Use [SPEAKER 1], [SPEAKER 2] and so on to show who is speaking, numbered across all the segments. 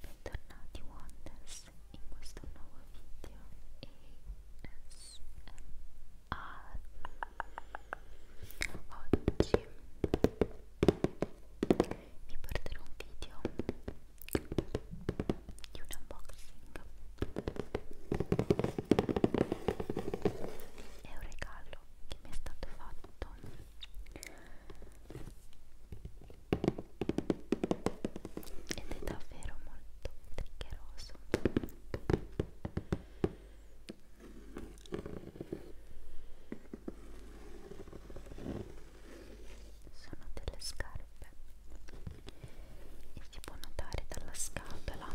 [SPEAKER 1] Bentornati Wonders in questo nuovo video ASMR Oggi vi porterò un video di un unboxing è un regalo che mi è stato fatto ed è davvero molto triggeroso sono delle scarpe
[SPEAKER 2] e si può notare dalla scatola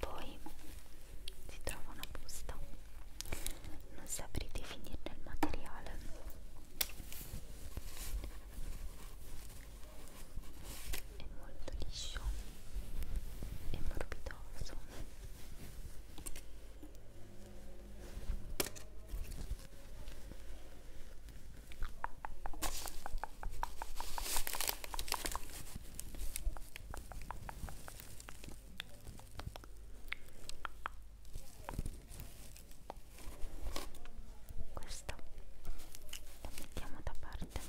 [SPEAKER 3] Poi si trova una busta, non saprei definirne il materiale. È molto liscio e morbidoso questo lo mettiamo da parte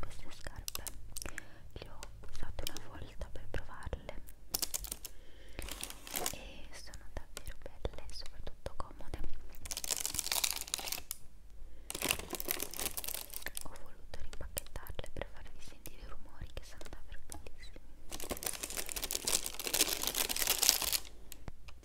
[SPEAKER 3] queste scarpe le ho usate una volta per provarle e sono davvero belle e soprattutto comode ho voluto rimpacchettarle per farvi sentire
[SPEAKER 4] i rumori che sono davvero bellissimi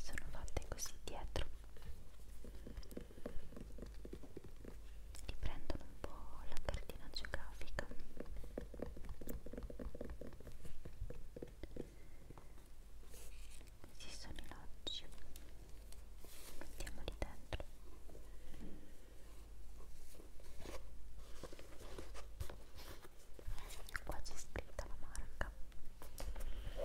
[SPEAKER 4] sono fatte così dietro ti prendono un po' la cartina geografica
[SPEAKER 5] questi sono i loggi Andiamo lì dentro. Qua c'è scritta la marca. Ecco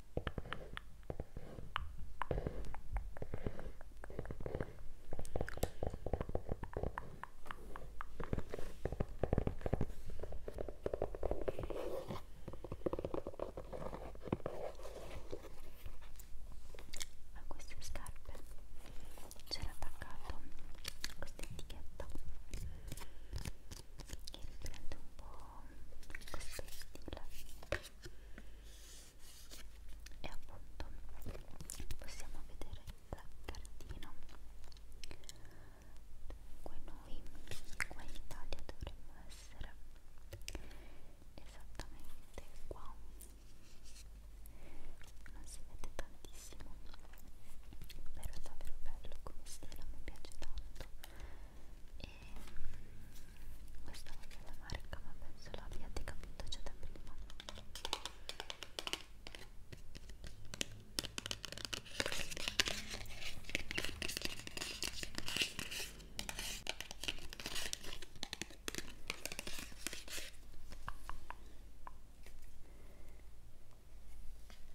[SPEAKER 5] a queste scarpe c'era attaccato questa etichetta che riprende un po' questo stile e appunto possiamo vedere la cartina dunque noi qua in Italia dovremmo essere esattamente qua non si vede tantissimo però è davvero bello come stile mi piace tanto e questa voglio la marca ma penso l'abbiate capito già da prima